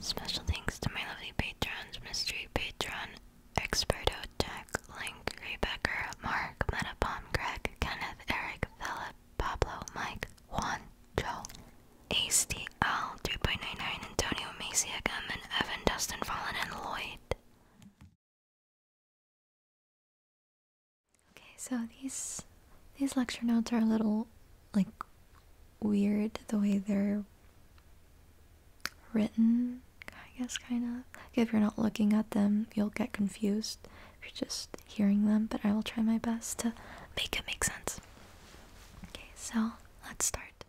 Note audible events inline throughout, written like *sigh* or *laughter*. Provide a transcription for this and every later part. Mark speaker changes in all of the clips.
Speaker 1: Special thanks to my lovely patrons, mystery patron, experto, Tech, Link, Rebecker, Mark, Metapom, Greg, Kenneth, Eric, Philip, Pablo, Mike, Juan, Joe, ASTL, 3.99, Antonio, Macy, Eggman, Evan, Dustin, Fallen, and Lloyd. Okay, so these these lecture notes are a little like weird the way they're written, I guess kind of. if you're not looking at them, you'll get confused if you're just hearing them, but I will try my best to make it make sense. Okay, so let's start.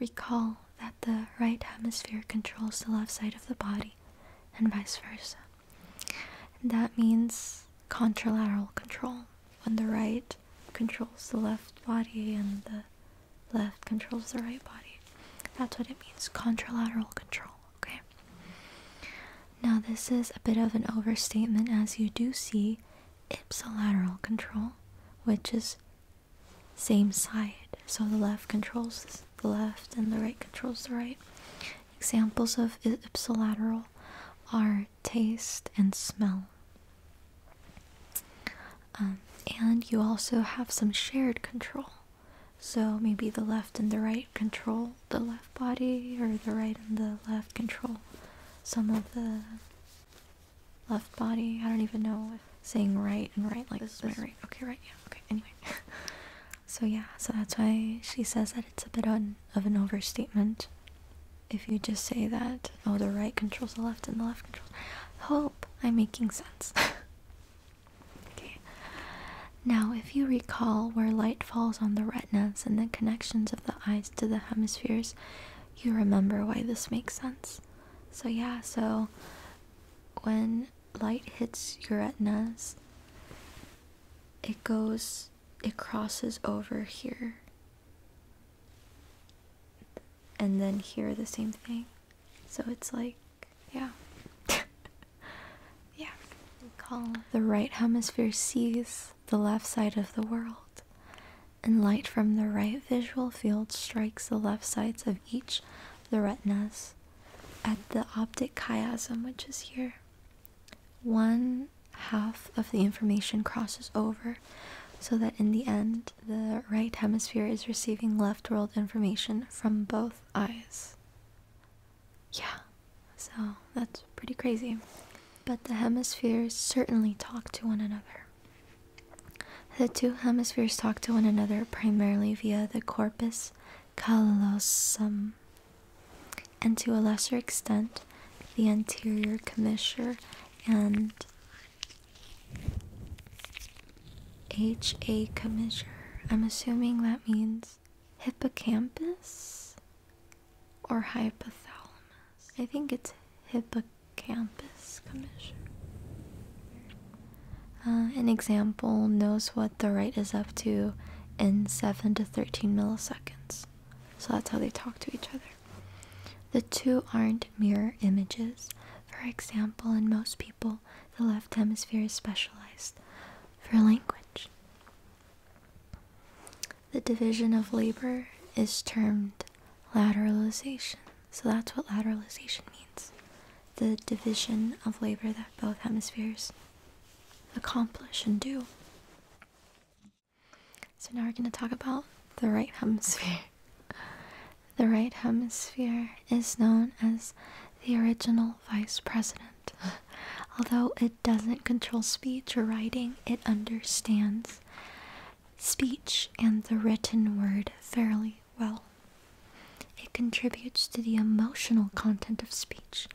Speaker 1: Recall that the right hemisphere controls the left side of the body and vice versa that means contralateral control, when the right controls the left body and the left controls the right body. That's what it means, contralateral control, okay? Now, this is a bit of an overstatement as you do see ipsilateral control, which is same side. So the left controls the left and the right controls the right. Examples of ipsilateral are taste and smell. Um, and you also have some shared control. So maybe the left and the right control the left body, or the right and the left control some of the left body. I don't even know if saying right and right like this is right. Okay, right, yeah, okay, anyway. *laughs* So yeah, so that's why she says that it's a bit of an overstatement if you just say that, oh, the right controls the left and the left controls. Hope I'm making sense. *laughs* okay. Now, if you recall where light falls on the retinas and the connections of the eyes to the hemispheres, you remember why this makes sense. So yeah, so when light hits your retinas. it goes, it crosses over here. And then here, the same thing. So it's like, yeah. *laughs* yeah. The right hemisphere sees the left side of the world, and light from the right visual field strikes the left sides of each of the retinas at the optic chiasm, which is here, one half of the information crosses over so that in the end the right hemisphere is receiving left world information from both eyes. Yeah, so that's pretty crazy. But the hemispheres certainly talk to one another. The two hemispheres talk to one another primarily via the corpus callosum, and to a lesser extent, the anterior commissure and HA commissure. I'm assuming that means hippocampus or hypothalamus. I think it's hippocampus commissure. Uh, an example knows what the right is up to in 7 to 13 milliseconds. So that's how they talk to each other. The two aren't mirror images. For example, in most people, the left hemisphere is specialized for language. The division of labor is termed lateralization. So that's what lateralization means the division of labor that both hemispheres accomplish and do. So now we're going to talk about the right hemisphere. The right hemisphere is known as the original vice president. Although it doesn't control speech or writing, it understands speech and the written word fairly well. It contributes to the emotional content of speech.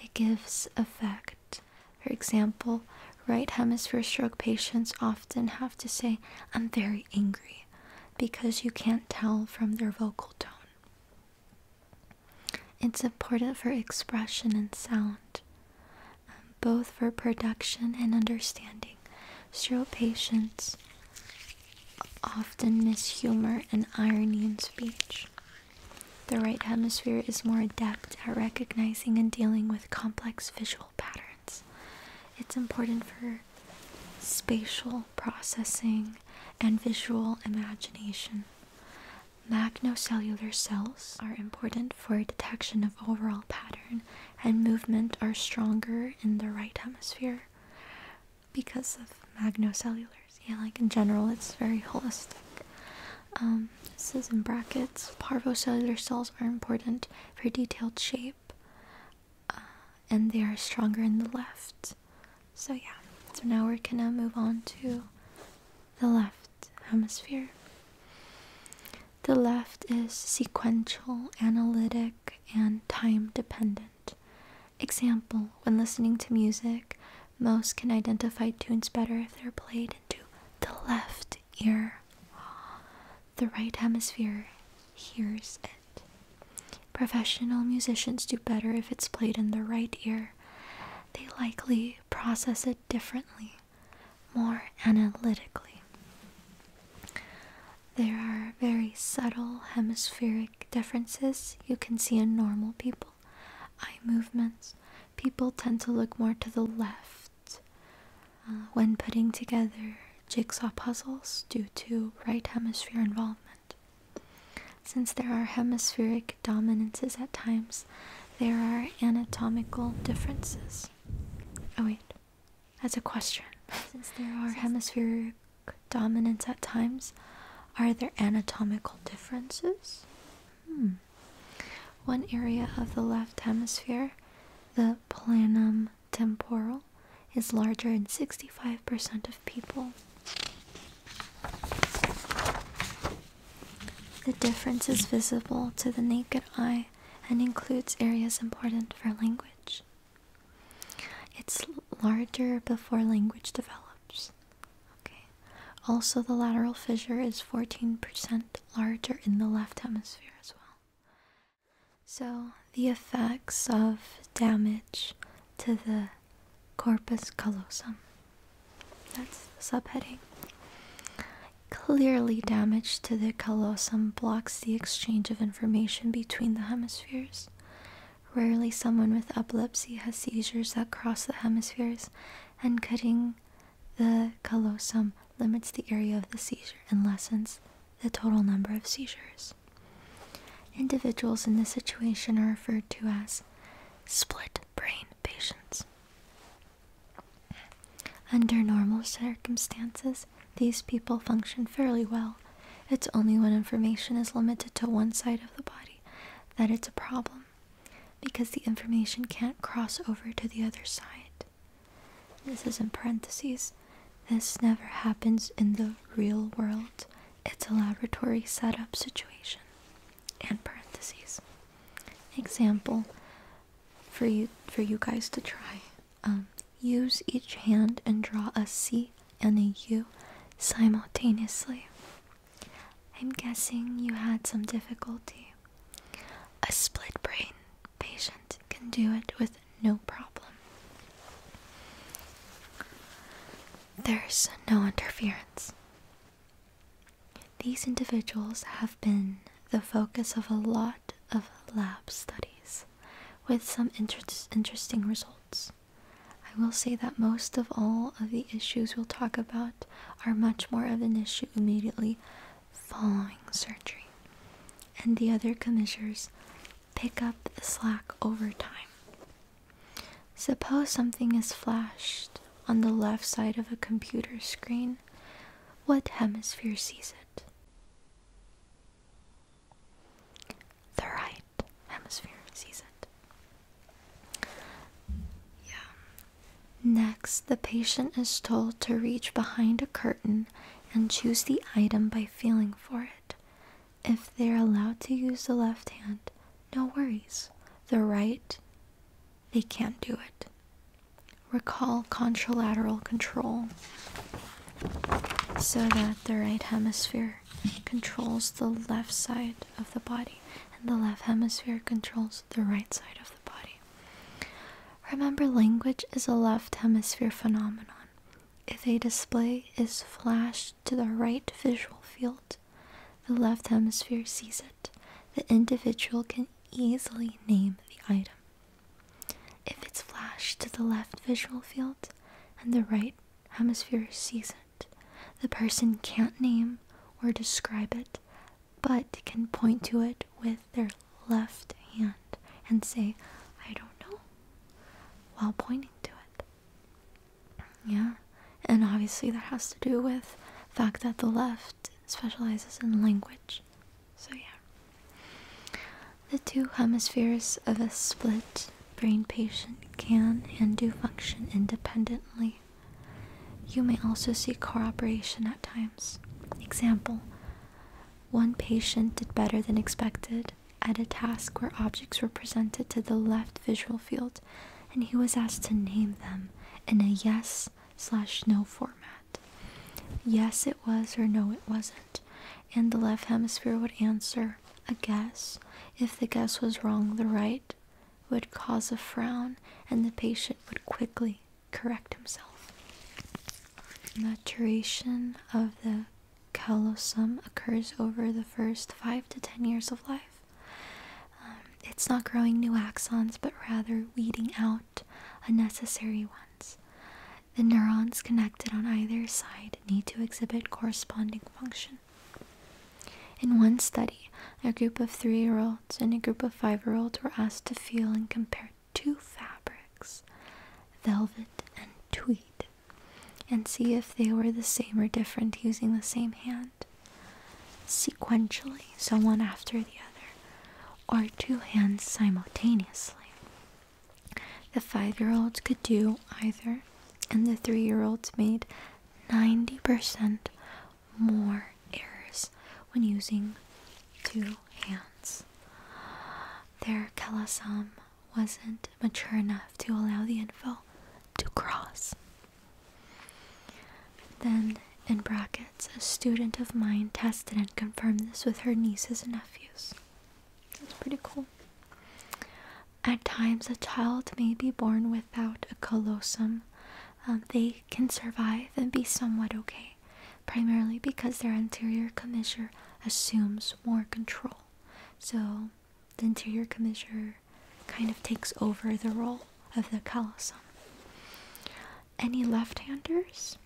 Speaker 1: It gives effect. For example, right hemisphere stroke patients often have to say, I'm very angry, because you can't tell from their vocal tone. It's important for expression and sound, um, both for production and understanding. Stroke patients often miss humor and irony in speech. The right hemisphere is more adept at recognizing and dealing with complex visual patterns. It's important for spatial processing and visual imagination. Magnocellular cells are important for detection of overall pattern, and movement are stronger in the right hemisphere because of magnocellulars. Yeah, like in general, it's very holistic. Um, this is in brackets. Parvocellular cells are important for detailed shape, uh, and they are stronger in the left. So, yeah, so now we're gonna move on to the left hemisphere. The left is sequential, analytic, and time dependent. Example, when listening to music, most can identify tunes better if they're played into the left ear. The right hemisphere hears it. Professional musicians do better if it's played in the right ear. They likely process it differently, more analytically. There are very subtle hemispheric differences you can see in normal people eye movements. People tend to look more to the left uh, when putting together jigsaw puzzles due to right hemisphere involvement. Since there are hemispheric dominances at times, there are anatomical differences. Oh, wait, that's a question. *laughs* Since there are hemispheric dominance at times? Are there anatomical differences? Hmm. One area of the left hemisphere, the planum temporal, is larger in 65% of people. The difference is visible to the naked eye and includes areas important for language. It's larger before language develops. Okay. Also, the lateral fissure is 14% larger in the left hemisphere as well. So, the effects of damage to the corpus callosum. That's the subheading. Clearly, damage to the callosum blocks the exchange of information between the hemispheres, Rarely someone with epilepsy has seizures that cross the hemispheres, and cutting the callosum limits the area of the seizure and lessens the total number of seizures. Individuals in this situation are referred to as split brain patients. Under normal circumstances, these people function fairly well it's only when information is limited to one side of the body that it's a problem, because the information can't cross over to the other side. This is in parentheses. This never happens in the real world. It's a laboratory setup situation. And parentheses. Example for you for you guys to try. Um, Use each hand and draw a C and a U simultaneously. I'm guessing you had some difficulty. A split brain patient can do it with no problem. There's no interference. These individuals have been the focus of a lot of lab studies with some interesting results. I will say that most of all of the issues we'll talk about are much more of an issue immediately following surgery, and the other commissioners pick up the slack over time. Suppose something is flashed on the left side of a computer screen. What hemisphere sees it? the right hemisphere sees it. Yeah. Next, the patient is told to reach behind a curtain and choose the item by feeling for it. If they are allowed to use the left hand, no worries. The right, they can't do it. Recall contralateral control so that the right hemisphere hemisphere controls the left side of the body, and the left hemisphere controls the right side of the body. Remember, language is a left hemisphere phenomenon. If a display is flashed to the right visual field, the left hemisphere sees it. The individual can easily name the item. If it's flashed to the left visual field and the right hemisphere sees it. The person can't name or describe it, but can point to it with their left hand and say, I don't know, while pointing to it. Yeah, and obviously that has to do with fact that the left specializes in language. So, yeah. The two hemispheres of a split brain patient can and do function independently. You may also see cooperation at times. Example One patient did better than expected at a task where objects were presented to the left visual field and he was asked to name them in a yes slash no format. Yes, it was, or no, it wasn't and the left hemisphere would answer a guess. If the guess was wrong, the right would cause a frown, and the patient would quickly correct himself. Maturation of the callosum occurs over the first 5 to 10 years of life. Um, it's not growing new axons, but rather weeding out unnecessary ones. The neurons connected on either side need to exhibit corresponding function. In one study, a group of three year olds and a group of five year olds were asked to feel and compare two fabrics, velvet and tweed, and see if they were the same or different using the same hand. Sequentially, so one after the other, or two hands simultaneously. The five year olds could do either, and the three year olds made 90% more errors when using two hands. Their kalasam wasn't mature enough to allow the info to cross. Then, in brackets, a student of mine tested and confirmed this with her nieces and nephews. That's pretty cool. At times, a child may be born without a colossum. Um, they can survive and be somewhat okay, primarily because their anterior commissure assumes more control. So, the anterior commissure kind of takes over the role of the colossum. Any left handers?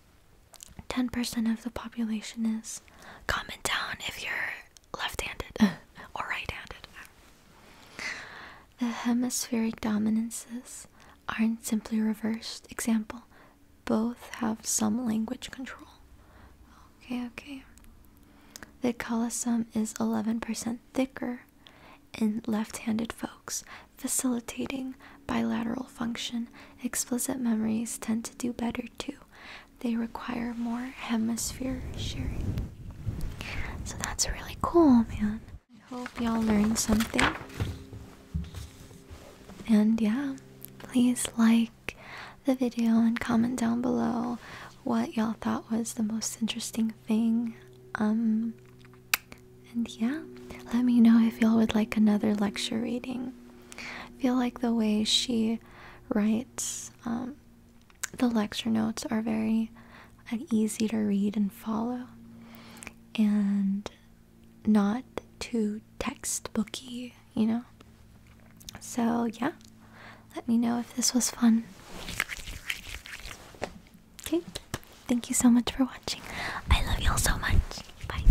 Speaker 1: 10% of the population is is. Comment down if you're left-handed *laughs* or right-handed. The hemispheric dominances aren't simply reversed. Example, both have some language control. Okay, okay. The callosum is 11% thicker in left-handed folks, facilitating bilateral function. Explicit memories tend to do better too they require more hemisphere sharing. So that's really cool, man. I hope y'all learned something. And yeah, please like the video and comment down below what y'all thought was the most interesting thing. Um, and yeah, let me know if y'all would like another lecture reading. I feel like the way she writes um, the lecture notes are very uh, easy to read and follow and not too textbooky, you know? So, yeah, let me know if this was fun. Okay, thank you so much for watching. I love y'all so much. Bye.